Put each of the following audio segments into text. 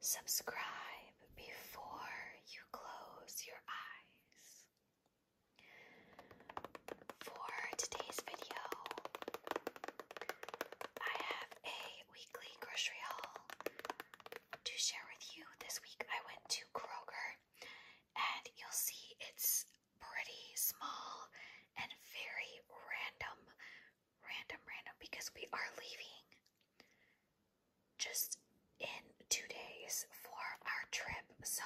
Subscribe before you close your eyes. For today's video, I have a weekly grocery haul to share with you. This week I went to Kroger, and you'll see it's pretty small and very random random, random, because we are leaving just in two days for our trip. So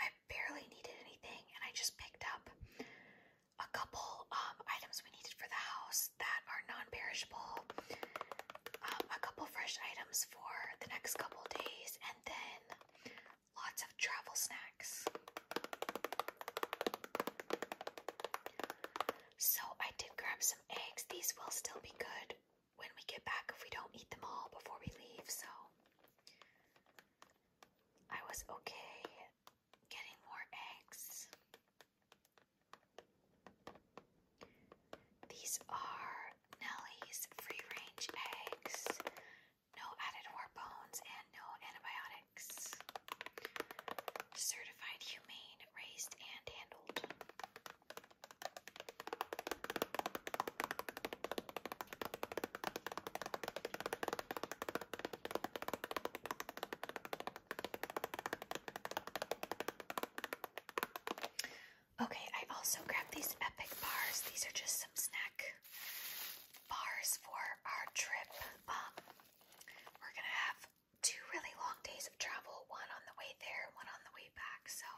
I barely needed anything, and I just picked up a couple um, items we needed for the house that are non-perishable, um, a couple fresh items for the next couple days, and then lots of travel snacks. So I did grab some eggs. These will still be good when we get back if we don't eat them all before we leave. So I was okay getting more eggs. These are Nellie's free range eggs. No added hormones and no antibiotics. Certified humane raised, and handled. Okay, I also grabbed these epic bars. These are just some snack bars for our trip. Um, we're gonna have two really long days of travel, one on the way there, one on the way back. So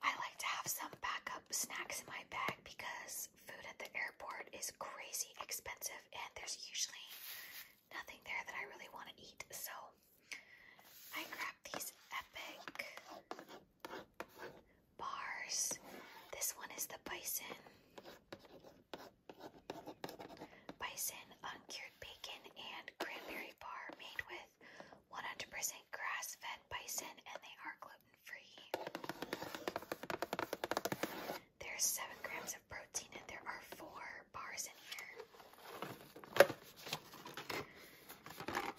I like to have some backup snacks in my bag because food at the airport is crazy expensive and there's usually nothing there that I really want to eat. So I grab these epic bars. This one is the bison. Bison, uncured bacon, and cranberry bar made with 100% grass fed bison, and they are gluten free. There's 7 grams of protein, and there are 4 bars in here.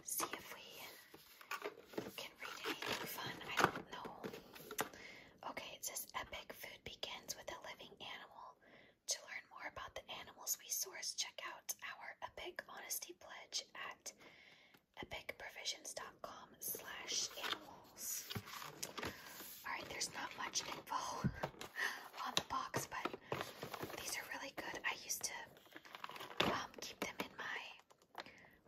See if we can read anything fun. I don't know. Okay, it says epic food begins with a living animal. To learn more about the animals we source, check out our Epic Honesty Pledge at epicprovisions.com slash animals. Alright, there's not much info on the box, but these are really good. I used to um, keep them in my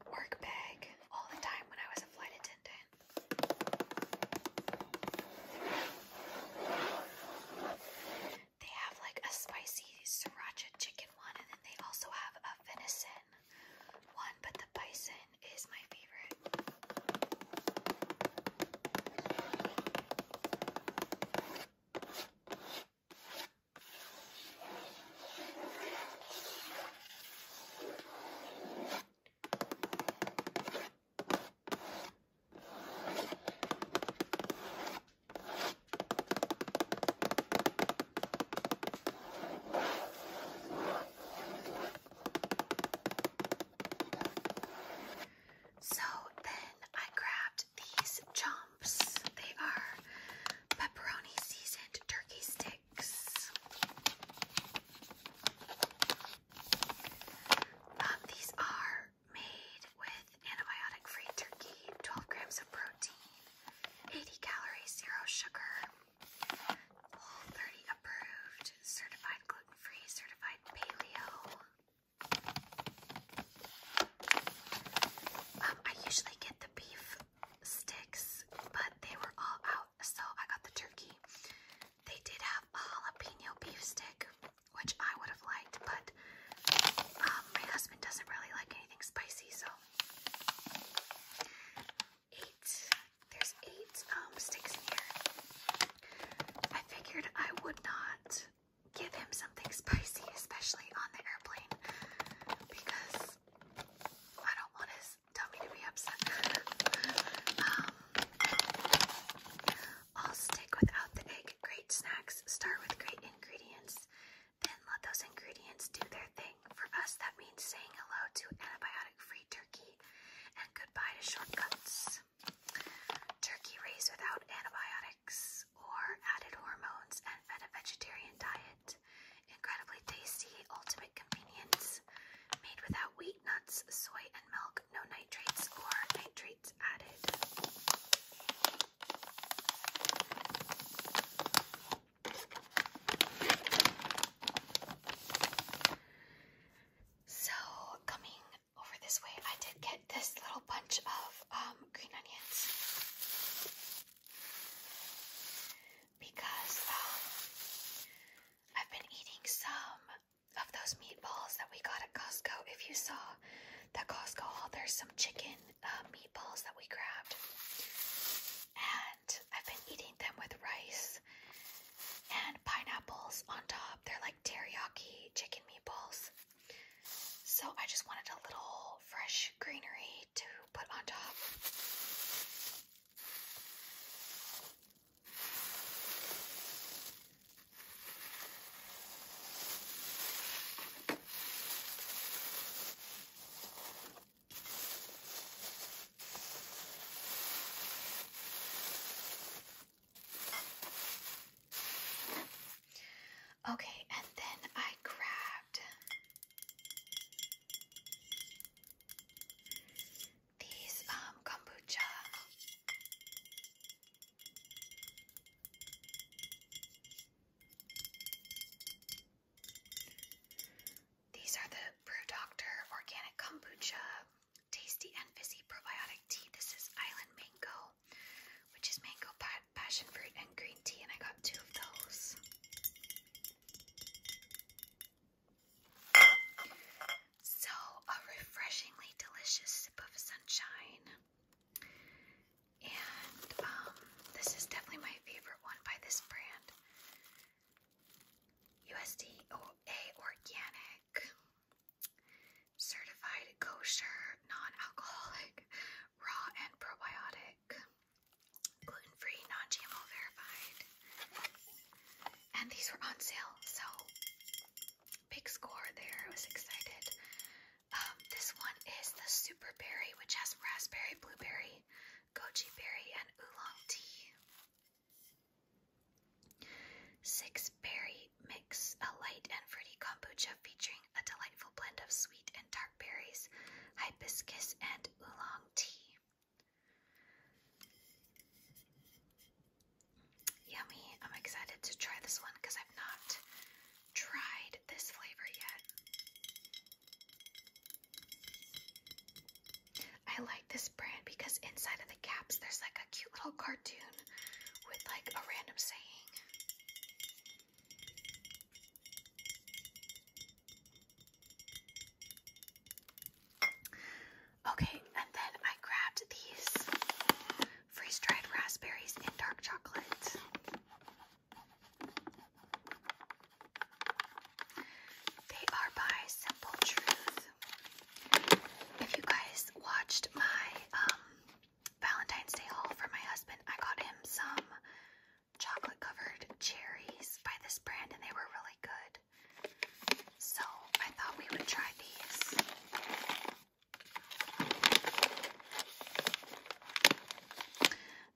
work bag all the time when I was a flight attendant. They have like a spicy sriracha chicken one, and then they also have a venison one, but the bison is my favorite. So then I grabbed these chomps. They are pepperoni seasoned turkey sticks. Um, these are made with antibiotic-free turkey, 12 grams of protein, 80 calories, zero sugar, whole 30 approved, certified gluten-free, certified paleo. Um, I usually get the beef sticks, but they were all out, so I got the turkey. They did have a jalapeno beef stick, which I would have liked, but um, my husband doesn't really like anything spicy, so eight. There's eight um, sticks here. I figured I would not give him something spicy, especially on the airplane, because I don't want his tummy to be upset. Um, all stick without the egg. Great snacks start with great ingredients. Then let those ingredients do their thing. For us, that means saying hello to antibiotic free turkey and goodbye to shortcuts. Turkey raised without antibiotics or added hormones and fed a vegetarian diet. Incredibly tasty, ultimate convenience. Made without wheat, nuts, soy, and milk no nitrates or nitrates added. So, coming over this way, I did get this little bunch of um, green onions because um, I've been eating some of those meatballs that we got at Costco. If you saw that Costco haul, there's some chicken uh, meatballs that we grabbed. And I've been eating them with rice and pineapples on top. They're like teriyaki chicken meatballs. So I just wanted a little fresh greenery to put on top. Okay, and then I grabbed these um kombucha these are the Brew Doctor Organic Kombucha Tasty and Fizzy Probiotic Tea. This is Island Mango, which is mango, passion fruit, and green tea, and I got two of those. So, a refreshingly delicious sip of sunshine. And um, this is definitely my favorite one by this brand USDA Organic, certified kosher, non alcoholic, raw, and probiotic, gluten free, non GMO verified. And these were on sale, so big score there. I was excited. Um, this one is the super berry, which has raspberry, blueberry, goji berry, and oolong tea. Six berry mix, a light and fruity kombucha featuring a delightful blend of sweet and dark berries, hibiscus, and oolong tea. Yummy. I'm excited to try this one because I've not tried this flavor yet. I like this brand because inside of the caps there's like a cute little cartoon with like a random saying. Okay, and then I grabbed these freeze dried raspberries in dark chocolate. They are by Simple Truth. If you guys watched my um, Valentine's Day haul for my husband, I got him some chocolate covered cherries by this brand and they were really good. So I thought we would try these.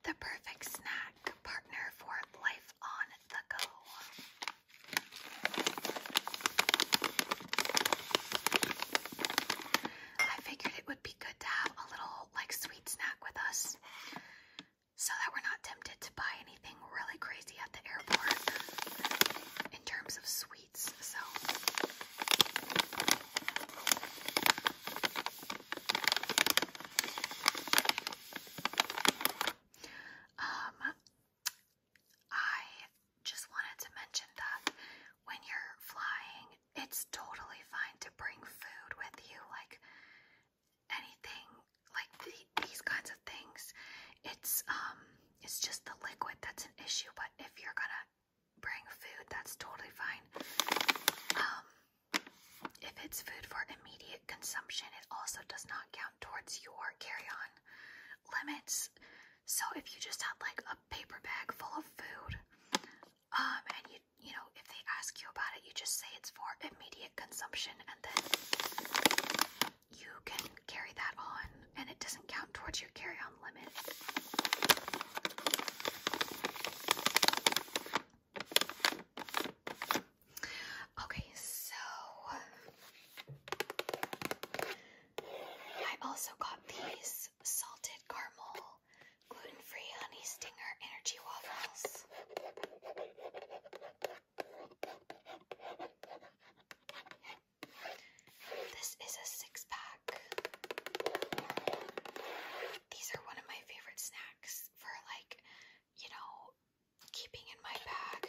The perfect snack partner for life on the go. I figured it would be good to have a little like sweet snack with us so that we're not tempted to buy anything really crazy at the airport in terms of sweet so um I just wanted to mention that when you're flying, it's totally fine to bring food with you, like anything, like these kinds of things. It's um, it's just the liquid that's an issue. But if you're gonna bring food, that's totally fine. Um, if it's food for immediate consumption, it also does not count towards your carry-on limits. So if you just have like a paper bag full of food, um, and you you know if they ask you about it, you just say it's for immediate consumption, and then you can carry that on and it doesn't count towards your carry on limit. Okay, so I also got these salted caramel gluten free honey stinger energy waffles. This is a six pack. These are one of my favorite snacks for, like, you know, keeping in my bag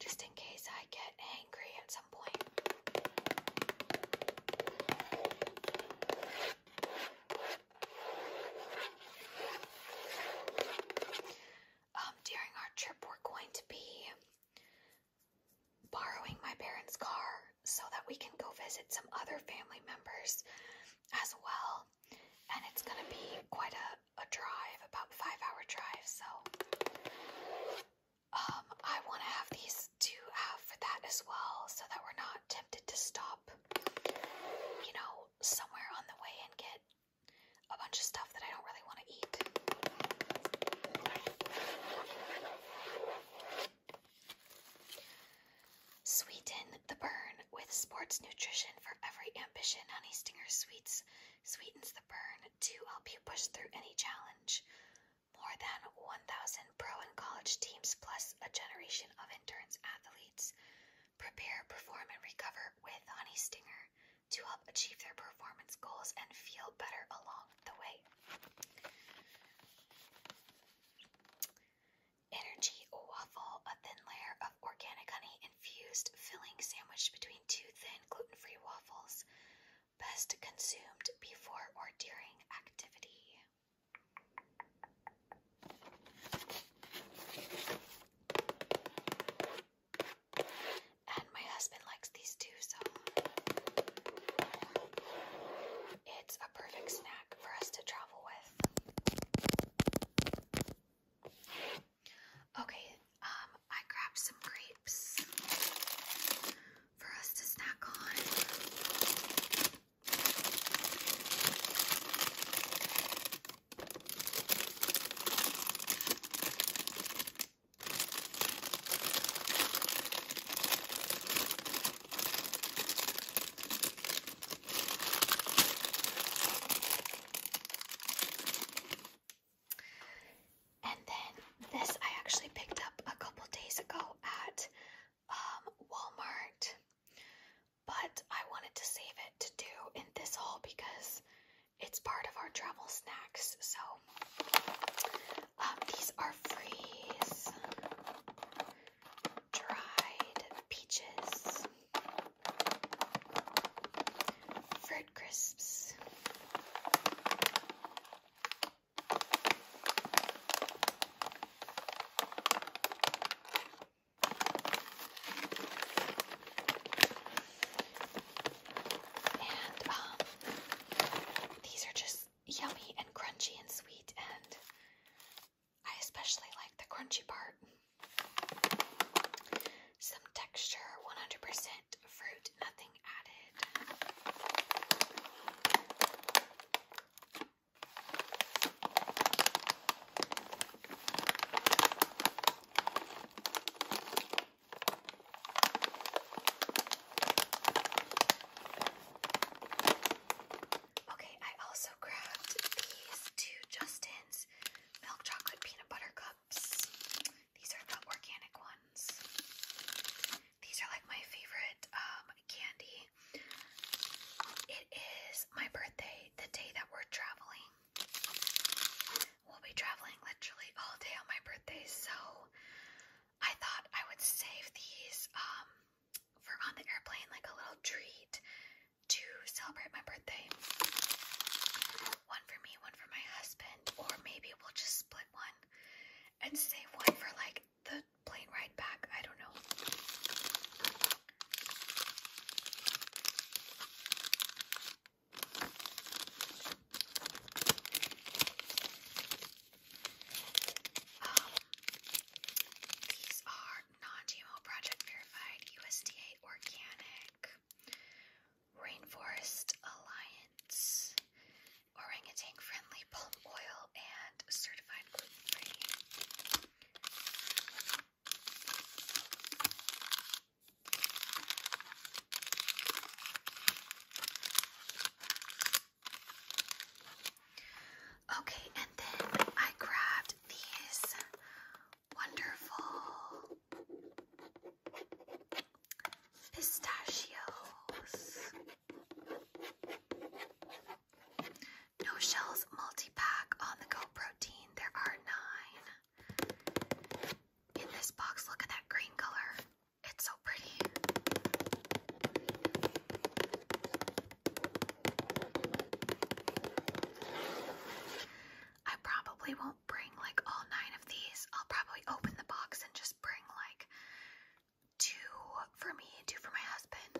just in case I get angry at some point. Um, during our trip, we're going to be borrowing my parents' car so that we can go visit some other family members as well. And it's going to be quite a, a drive, about five hour drive. So um, I want to have these to have for that as well so that we're not tempted to stop, you know, somewhere on the way and get a bunch of stuff that I don't really want to eat. Sweeten the burn with sports nutrition for every ambition. Honey Stinger Sweets sweetens the burn to help you push through any challenge. More than 1,000 pro and college teams, plus a generation of endurance athletes. Prepare, perform, and recover with Honey Stinger to help achieve their performance goals and feel better along the way. Energy waffle, a thin layer of organic honey infused filling sandwiched between two thin gluten free waffles, best consumed before or during activity. And my husband likes these too, so it's a perfect snack for us to travel with. Okay, um, I grabbed some grapes for us to snack on. And then this I actually picked up a couple days ago at um, Walmart, but I wanted to save it to do in this haul because it's part of our travel snacks, so um, these are freeze dried peaches, fruit crisps. And um, these are just yummy and crunchy and sweet, and I especially like the crunchy part. Some texture, 100% fruit, nothing added. Okay, I also grabbed these two Justin's milk chocolate peanut butter cups. These are the organic ones. These are like my favorite um, candy. It is my birthday, the day that we're traveling. We'll be traveling literally all day on my birthday, so I thought I would save these um, for on the airplane, like a little treat to celebrate my birthday. One for me, one for my husband, or maybe we'll just split one and save one for like the plane ride back. I don't know these are non-GMO project verified USDA organic Rainforest Alliance orangutan friendly palm oil and certified gluten free. Okay, and then I grabbed these wonderful pistachios. No shells multi pack on the go protein. There are nine in this box. Look at that green color. It's so pretty. I probably won't bring like all nine of these. I'll probably open the box and just bring like two for me, two for my husband.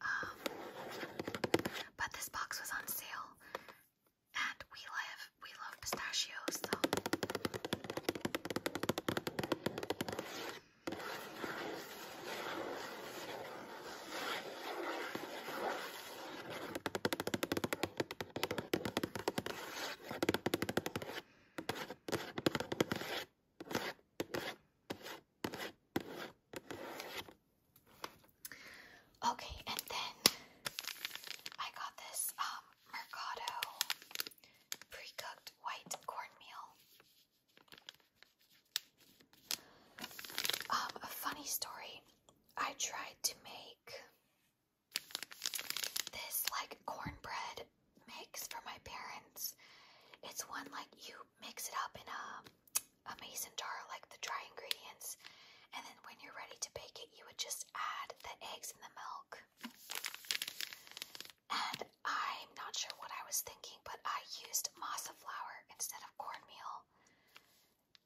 Um, but this box was on sale, and we live we love pistachios, though. Okay, and then I got this um, Mercado pre white cornmeal. Um, a funny story. I tried to make this like cornbread mix for my parents. It's one like you mix it up in a mason jar, like the dry ingredients, and then when you're ready to bake it, you would just add the eggs and the milk. And I'm not sure what I was thinking, but I used masa flour instead of cornmeal.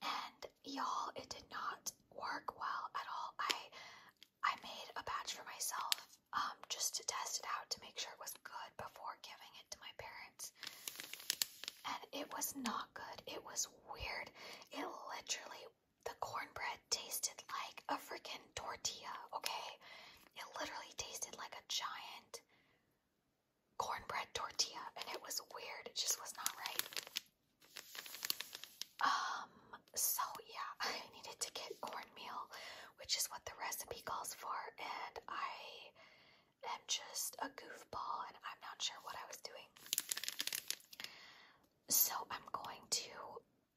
And y'all, it did not work well at all. I I made a batch for myself um, just to test it out to make sure it was good before giving it to my parents. And it was not good. It was weird. It literally the cornbread tasted like a freaking tortilla, okay? It literally tasted like a giant cornbread tortilla, and it was weird. It just was not right. Um, so yeah, I needed to get cornmeal, which is what the recipe calls for, and I am just a goofball, and I'm not sure what I was doing. So I'm going to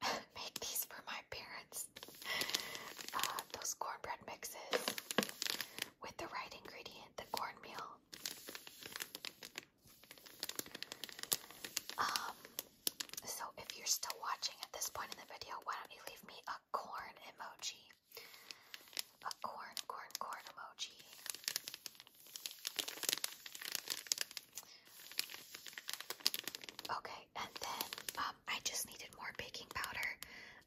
make these for my parents. Uh, those cornbread mixes with the right ingredient, the cornmeal. Um, so if you're still watching at this point in the video, why don't you leave me a corn emoji? A corn, corn, corn emoji. Okay, and then um, I just needed more baking powder.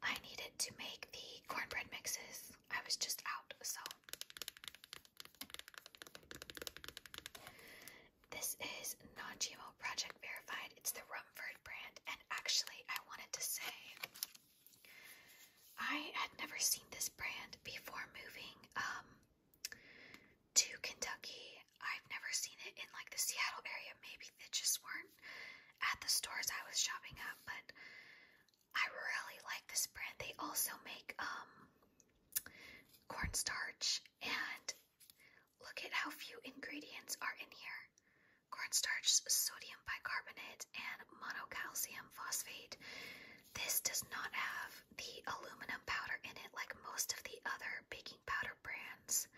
I needed to make the cornbread mixes. I was just out, so. This is non GMO Project Verified. It's the Rumford brand. And actually, I wanted to say I had never seen this brand before moving um, to Kentucky. I've never seen it in like the Seattle area. Maybe they just weren't at the stores I was shopping at, but I really like this brand. They also make um cornstarch and look at how few ingredients are in here. Cornstarch, sodium bicarbonate, and monocalcium phosphate. This does not have the aluminum powder in it, like most of the other baking powder brands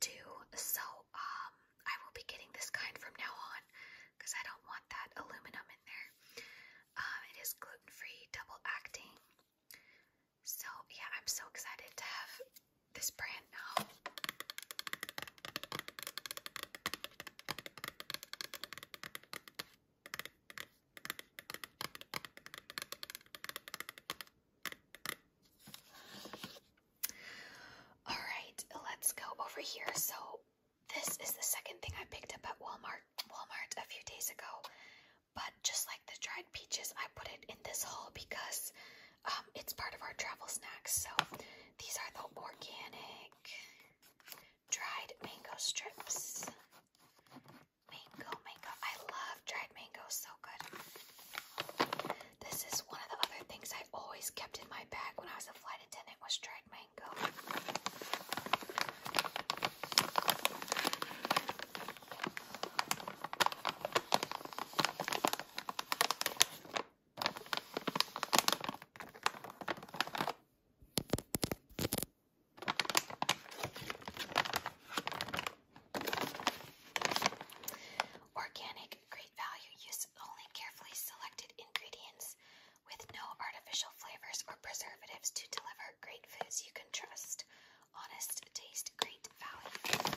do. So, um, I will be getting this kind from now on because I don't want that aluminum in there. Um, it is gluten free, double acting. So, yeah, I'm so excited to have this brand now. All right, let's go over here. So, this is the second thing I picked up at Walmart Walmart a few days ago. But just like the dried peaches, I put it in this haul because um, it's part of our travel snacks. So, these are the organic dried mango strips mango, mango. I love dried mango, so good. This is one of the other things I always kept in my bag when I was a flight attendant was dried mango. Organic, great value. Use only carefully selected ingredients with no artificial flavors or preservatives to deliver great foods you can trust. Honest taste, great value.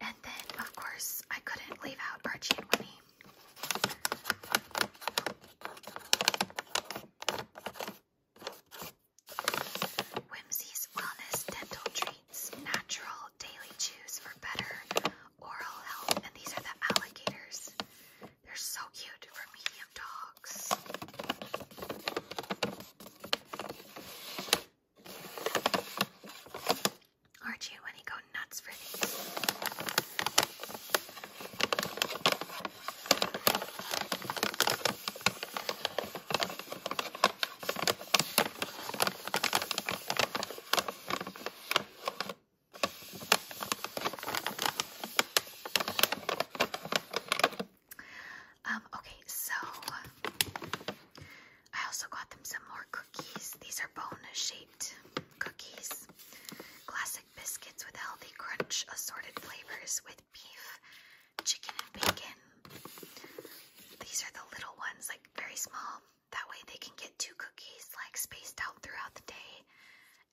And then, of course, I couldn't leave out Archie and Winnie. Whimsy's Wellness Dental Treats, natural daily chews for better oral health. And these are the alligators. They're so cute for medium dogs. Aren't you when you go nuts for these? Um, okay, so I also got them some more cookies. These are bone shaped cookies. Classic biscuits with healthy crunch, assorted flavors with beef, chicken, and bacon. These are the little ones, like very small. That way they can get two cookies like spaced out throughout the day.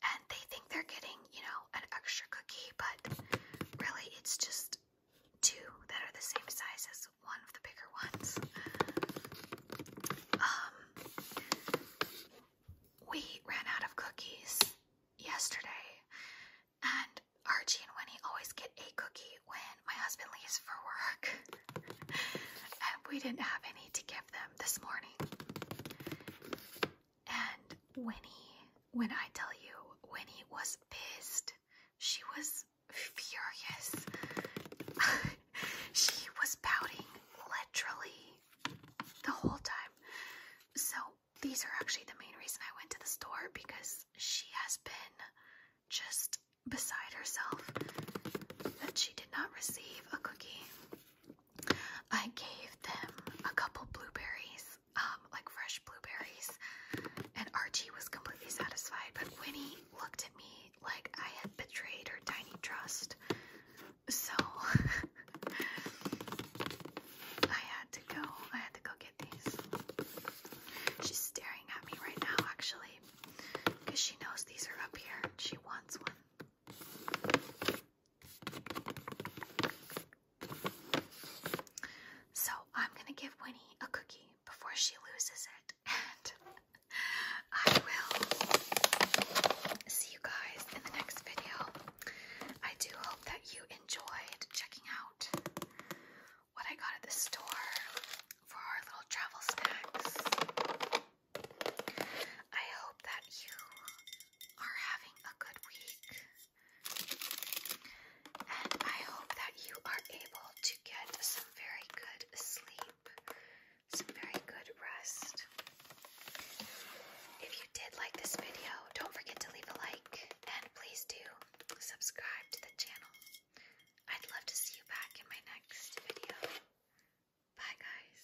And they think they're getting, you know, an extra cookie, but really it's just two that are the same size as one of the bigger ones. Um, we ran out of cookies yesterday, and Archie and Winnie always get a cookie when my husband leaves for work, and we didn't have any to give them this morning. And Winnie, when I tell you, Winnie was pissed. She was furious. she was pouting literally the whole time. So, these are actually the main reason I went to the store because she has been just beside herself that she did not receive a cookie. I gave them a couple blueberries, um, like fresh blueberries, and Archie was completely satisfied, but Winnie looked at me like I had betrayed her tiny trust. So I had to go. I had to go get these. She's staring at me right now, actually, because she knows these are up here. She wants one. So I'm gonna give Winnie a cookie before she loses it. And I will see you guys in the next video. I do hope that you enjoyed checking out what I got at the store for our little travel snacks. I hope that you are having a good week and I hope that you are able to get some very good sleep, some very good rest. If you did like this video, don't forget to leave a like and please do subscribe to the channel. I'd love to see you back in my next video. Bye, guys.